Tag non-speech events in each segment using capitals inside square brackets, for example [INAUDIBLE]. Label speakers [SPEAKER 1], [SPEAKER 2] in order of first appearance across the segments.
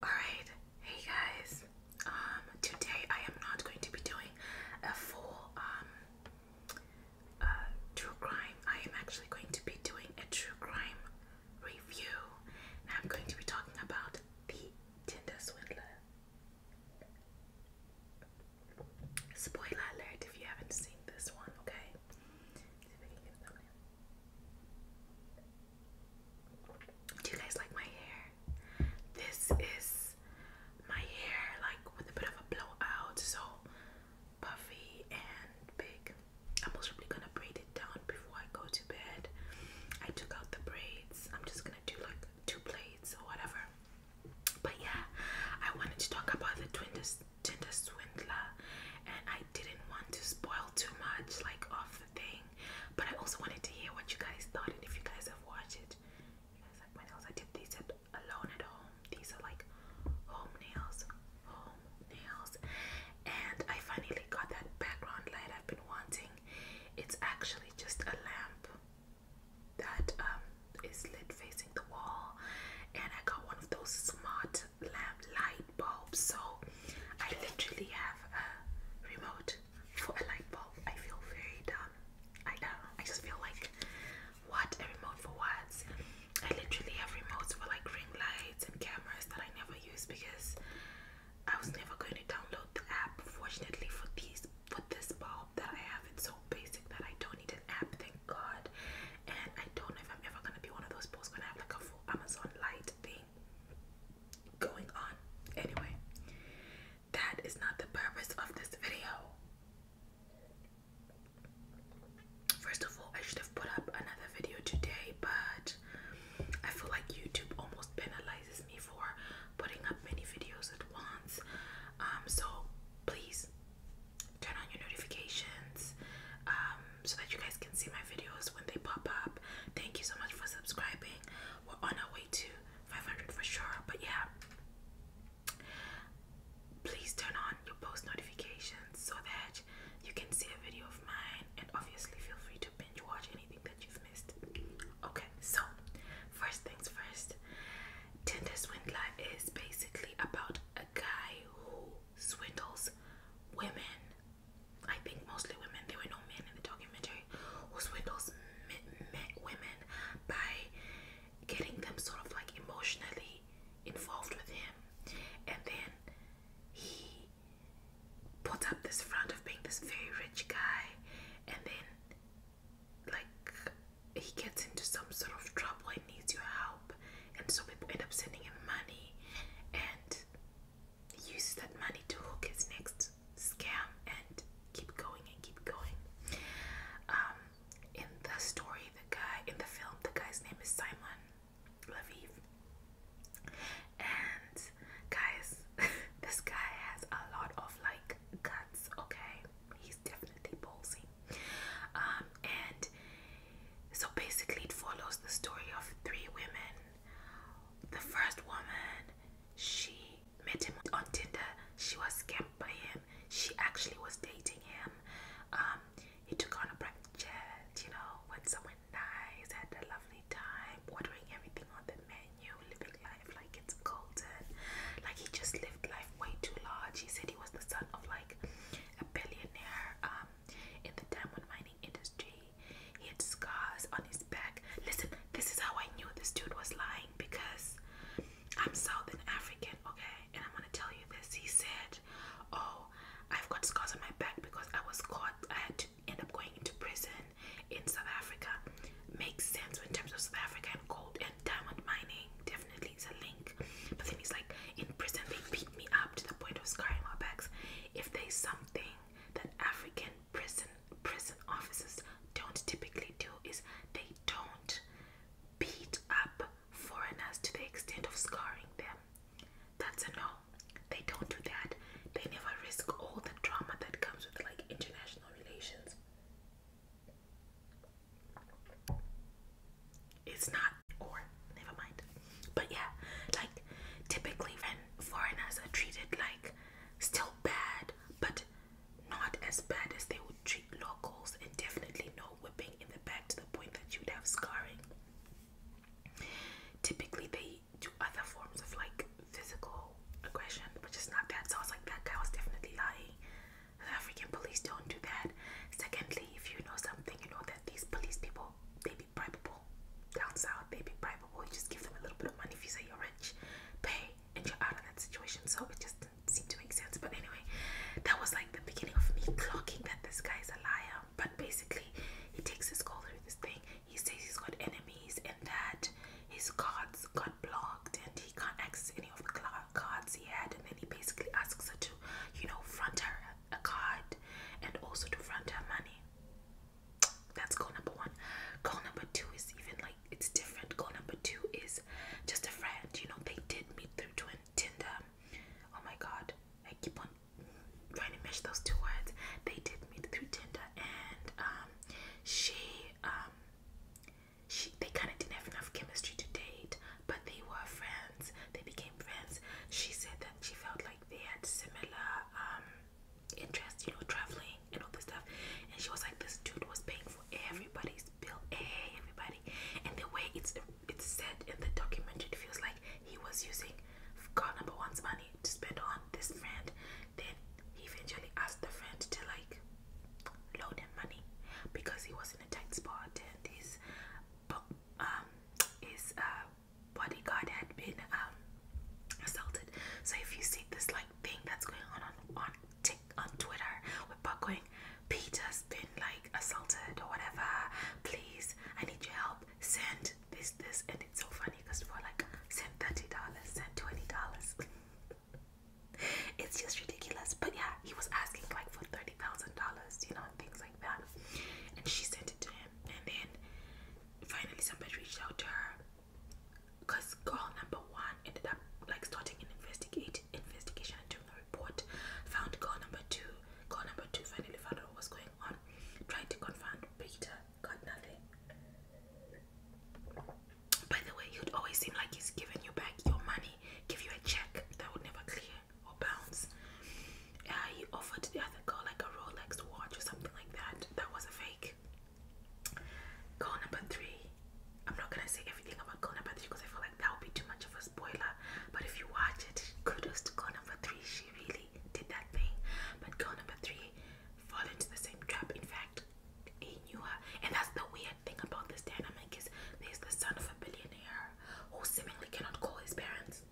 [SPEAKER 1] Alright, hey guys. Um, today I am not going to be doing a full um uh, true crime. I am actually going to be doing a true crime review I'm going to be talking about the Tinder swindler. Spoiler alert if you haven't seen this one, okay? Do you guys like my hair? This is my hair, like with a bit of a blowout, so puffy and big. I'm most probably gonna braid it down before I go to bed. I took out the braids. I'm just gonna do like two plates or whatever. But yeah, I wanted to talk about the Tinder Swindler, and I didn't want to spoil too much like of the thing but I also wanted to hear what you guys thought and if you guys have watched You guys like my nails. I did these at alone at home. These are like home nails. Home nails. And I finally got that background light I've been wanting. It's actually just a lamp that um, is lit facing the wall. And I got one of those smart lamp light bulbs. So I literally have a remote for a light bulb. I feel very dumb. I know. I just feel like, what? A remote for what? I literally have remotes for like ring lights and cameras that I never use because I was never going to download the app. Fortunately for this, for this bulb that I have, it's so basic that I don't need an app. Thank God. And I don't know if I'm ever gonna be one of those people who's gonna have like a full Amazon light thing going on. Anyway, that is not the purpose of this video. First of all, I should have put up another video today, but I feel like YouTube almost penalizes me for putting up many videos at once. Um, so please turn on your notifications um, so that you guys can see my videos when they pop up. Thank you so much for subscribing we're on our way to 500 for sure. But yeah, please turn on your post notifications so that you can see a video of mine. And obviously, feel free to binge watch anything that you've missed. Okay, so first things first, Tinder Swindler is basically about a guy who swindles women I think mostly women. There were no men in the documentary who swindles men, women by getting them sort of like emotionally involved with him, and then he put up this front of being this very rich guy, and then like he gets into some sort of trouble and needs your help, and so people end up sending him money, and he uses that money to hook his next scam and keep going and keep going. Um, in the story, the guy in the film, the guy's name is Simon Laviv. And guys, [LAUGHS] this guy has a lot of like guts, okay? He's definitely ballsy. Um, and so basically, it follows the story of three women the first woman she met him on Tinder. She was scammed by him. She actually was dating him. Um, he took on a private jet, you know, went somewhere nice, had a lovely time, ordering everything on the menu, living life like it's golden. Like he just lived life way too large. He said he was the son of like a billionaire um, in the diamond mining industry. He had scars on his back. Listen, this is how I knew this dude was lying because I'm South African, okay? And I'm gonna tell you this. He said, Oh, I've got scars on my back because I was caught. I had to end up going into prison in South Africa. Makes sense in terms of South African gold and diamond mining. Definitely is a link. But then he's like, In prison, they beat me up to the point of scarring my backs. If they something that African prison prison officers don't typically do is they don't beat up foreigners to the extent of scarring them. That's a no. They don't do that. They never risk all the drama that comes with like international relations. It's not or never mind. But yeah, like typically when foreigners are treated like Still bad, but not as bad as they would treat locals, and definitely no whipping in the back to the point that you'd have scarring. Typically, they do other forms of like physical aggression, but just not bad. So I was like, that guy was definitely lying. The African police don't do that. Secondly, if you know something, you know that these police people they be bribable. Down south, they be bribable or just give them a little bit of money if you say you're rich, pay, and you're out of that situation. So it just didn't seem to make sense. But anyway, that was like the beginning of me clocking that this guy's a liar. But basically, he takes his call through this thing. He says he's got enemies and that his cards got blocked and he can't access any of the cards he had. And then he basically asks her to, you know, front her a card and also to front her money. That's goal number one. Goal number two is even like it's different. Goal number two is just a friend. You know, they did meet through Tinder. Oh my god, I keep on trying to mesh those two words. They did meet through Tinder, and um, she um, she they kind of didn't have enough chemistry to date, but they were friends. They became friends. She said that she felt like they had similar um interest, you know, traveling and all this stuff. And she was like, this dude was paying for everybody's bill, everybody. And the way it's it's said in the document, it feels like he was using girl number one's money to spend on this friend. Then he eventually asked the friend to like loan him money because he was in a tight spot and his um his uh bodyguard had been um assaulted. So if you see this like thing that's going on on on, tick, on Twitter with Buck going, Peter's been like assaulted or whatever. Please, I need your help. Send this, this, and it's so funny because people are like, send thirty dollars, send twenty dollars. [LAUGHS] it's just ridiculous. But yeah, he was asking like for thirty thousand dollars, you know, and things like that. And she sent it to him, and then finally somebody reached out to her because girl number one ended up like starting an investigate investigation and doing a report. Found girl number two. Girl number two finally found out what was going on. Trying to confront Peter. Got nothing. By the way, he would always seem like he's giving you back your money, give you a check that would never clear or bounce. Uh, he offered the other girl like a Rolex watch or something like that. That was a fake like goal number three. I'm not gonna say everything about goal number three because I feel like that would be too much of a spoiler. But if you watch it, kudos to goal number three. She really did that thing. But goal number three fall into the same trap. In fact, he knew her. And that's the weird thing about this dynamic is there's the son of a billionaire who seemingly cannot call his parents.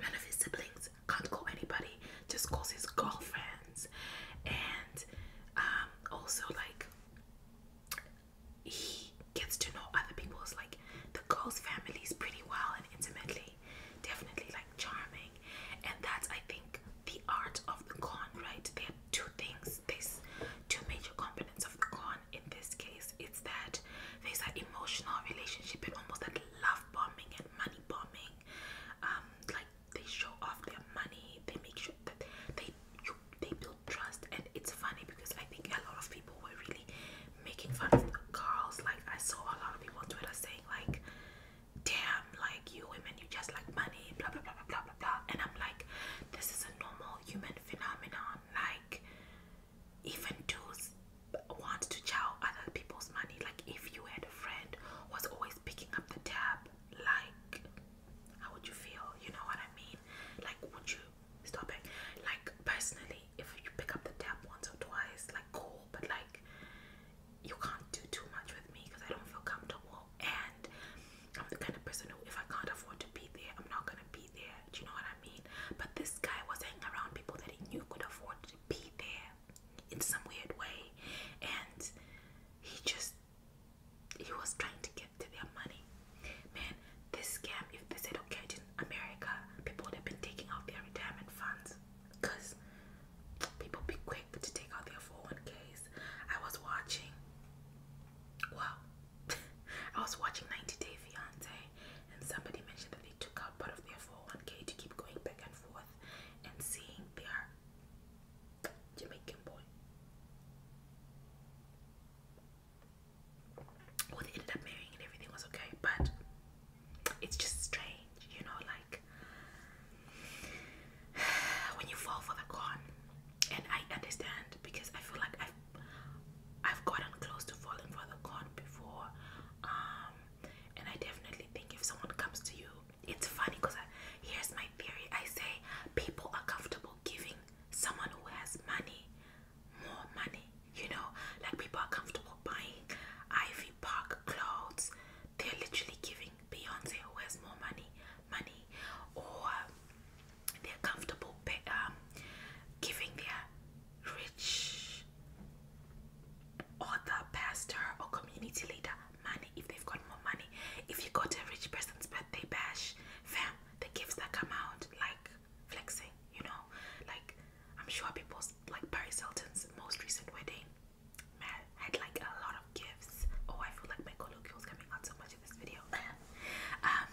[SPEAKER 1] None of his siblings can't call anybody, just calls his girlfriends. And um, also, like, he gets to know other people's, like, the girls' families pretty well and intimately. Definitely, like, charming. And that's, I think, the art of the con, right? There are two things, there's two major components of the con in this case. It's that there's an emotional relationship and almost that love bombing and money bombing um like they show off their money they make sure that they you, they build trust and it's funny because i think a lot of people were really making fun of girls like i saw a lot of people on twitter saying like damn like you women you just like money blah blah blah blah blah blah, blah. and i'm like this is a normal human phenomenon like even dudes want to chow other people's money. Like if you had a friend was always picking up the tab, like how would you feel? You know what I mean? Like would you stop it? Like personally, if you pick up the tab once or twice, like cool, but like you can't do too much with me because I don't feel comfortable and I'm the kind of person who if I can't afford to be there, I'm not gonna be there. Do you know what I mean? But this guy was hanging around people that he knew could afford to be there in some weird way, and he just he was trying to get to their money. Man, this scam, if they said okay in America, people would have been taking out their retirement funds because people be quick to take out their 401ks. I was watching wow [LAUGHS] I was watching 90 Day Fiance and somebody mentioned that took out part of their 401k to keep going back and forth and seeing their Jamaican boy. Well, they ended up marrying and everything was okay, but it's just strange, you know, like [SIGHS] when you fall for the con. And I understand because I feel like I've I've gotten close to falling for the con before. Um, and I definitely think if someone comes to you, it's funny because here's my theory I say people are comfortable giving someone who has money more money, you know, like people are comfortable buying Ivy Park clothes, they're literally giving Beyonce who has more money, money, or they're comfortable um, giving their rich or the pastor or community leader money if they've got more money. If you go to a rich person's birthday bash, fam, the gifts that come out like flexing, you know, like I'm sure people's like Paris Hilton's most recent wedding man had like a lot of gifts. Oh, I feel like my colloquial's coming out so much in this video. [LAUGHS] um,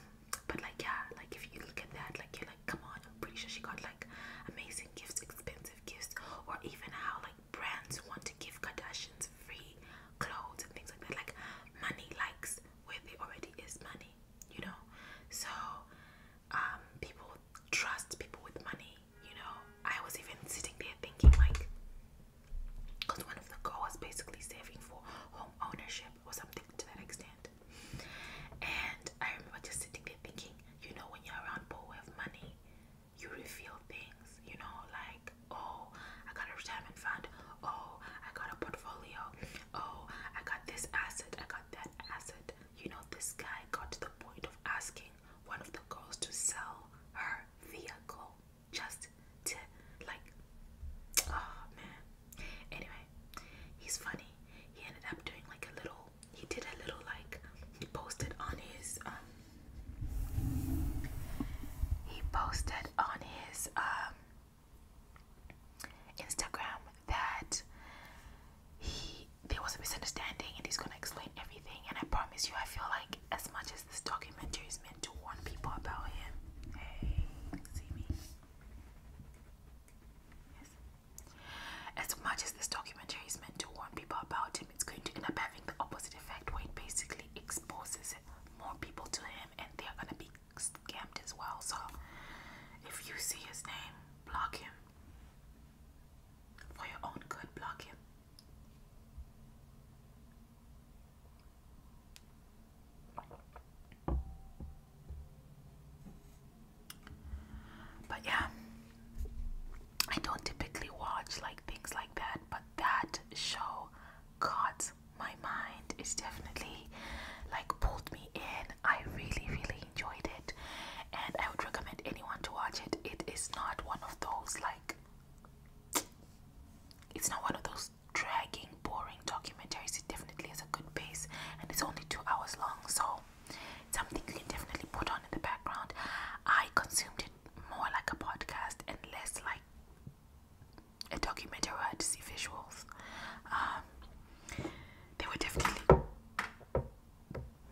[SPEAKER 1] but like yeah, like if you look at that, like you're like, come on, I'm pretty sure she got like amazing gifts, expensive gifts or even how like brands want to give Kardashians free clothes and things like that. Like money likes where there already is money, you know. So um people trust people with money, you know. I was even sitting there thinking like one of the goals basically saving for home ownership or something to that extent. And I remember just sitting there thinking, you know, when you're around people who have money, you reveal things, you know, like, oh, I got a retirement fund, oh, I got a portfolio, oh, I got this asset, I got that asset. You know, this guy got to the point of asking one of the girls to sell her vehicle just to, like, oh man. Anyway, he's funny. He ended up doing like a little he did a little like he posted on his um he posted on his um Instagram that he there was a misunderstanding and he's gonna explain everything and I promise you I feel like as much as this documentary is meant to warn people about him hey see me yes as much as this documentary is meant to warn people about him, it's going to end up having the opposite effect where it basically exposes more people to him and they're gonna be scammed as well. So if you see his name, block him. For your own good, block him. But yeah, I don't typically watch like things like that, but that show caught my mind. It's definitely like pulled me in. I really, really enjoyed it, and I would recommend anyone to watch it. It is not one of those like it's not one of those dragging, boring documentaries. It definitely is a good pace, and it's only two hours long, so something you can definitely put on in the background. I consumed it more like a podcast and less like a documentary I had to see visuals. Um, there were definitely,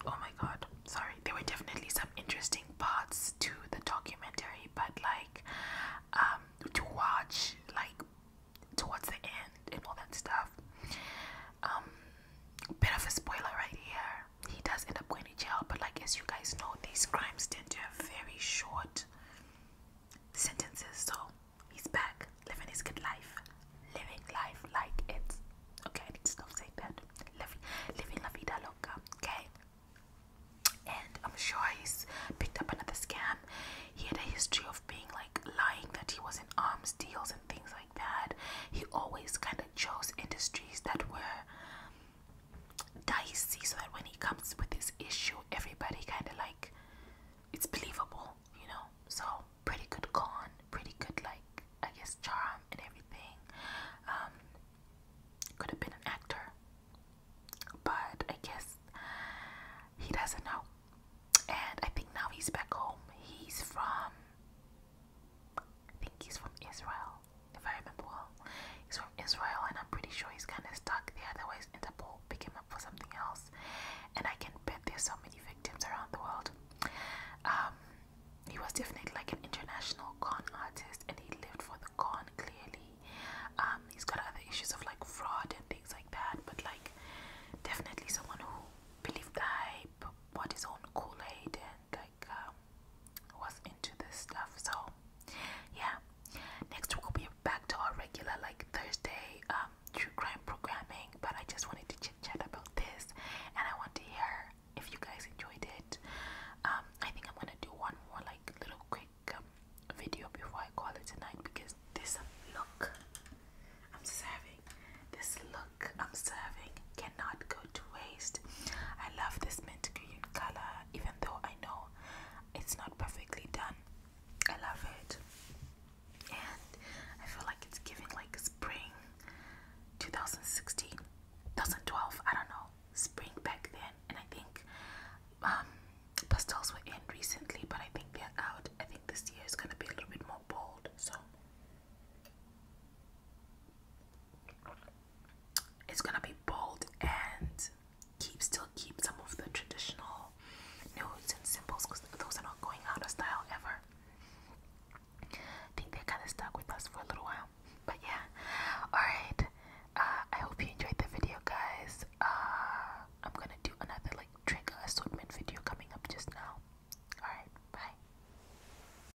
[SPEAKER 1] oh my god, sorry, there were definitely some interesting parts to the documentary, but like um, to watch, like towards the end and all that stuff, um, bit of a spoiler right here he does end up going to jail but like as you guys know these crimes tend to have very short sentences so he's back living his good life living life like it's okay i need to stop saying that living, living la vida loca okay and i'm sure he's picked up another scam he had a history of being like lying that he was in arms deals and and things like that. He always kind of chose industries that were dicey so that when he comes with this issue, everybody kind of like it's believable, you know. So, pretty good con, pretty good, like, I guess, charm and everything. Um, could have been an actor, but I guess he doesn't know. And I think now he's back home. He's from think he's from Israel, if I remember well. He's from Israel, and I'm pretty sure he's kind of stuck there. Otherwise, Interpol pick him up for something else. And I can bet there's so many victims around the world. Um, he was definitely like an international con artist, and he lived for the con clearly. Um, he's got other issues of like fraud and things like that, but like definitely someone who believed the hype, bought his own Kool Aid, and uh, um, was into this stuff. So yeah, next week we'll be back to our regular like Thursday um, true crime programming. But I just wanted to chit chat about this, and I want to hear if you guys enjoyed it. Um, I think I'm gonna do one more like little quick um, video before I call it tonight because this look I'm serving, this look I'm serving cannot go to waste. I love this mint green color, even though I know it's not perfectly done. I love it, and I feel like it's giving like spring 2016, 2012. I don't know, spring back then. And I think um, pastels were in recently, but I think they're out. I think this year is gonna be a little bit more bold. So it's gonna be bold and keep still keep some of the traditional nudes and symbols because those are not going out of style ever. I think they're kind of stuck with us for a little while, but yeah. Alright, uh, I hope you enjoyed the video, guys. Uh, I'm gonna do another like trigger assortment video coming up just now. Alright, bye.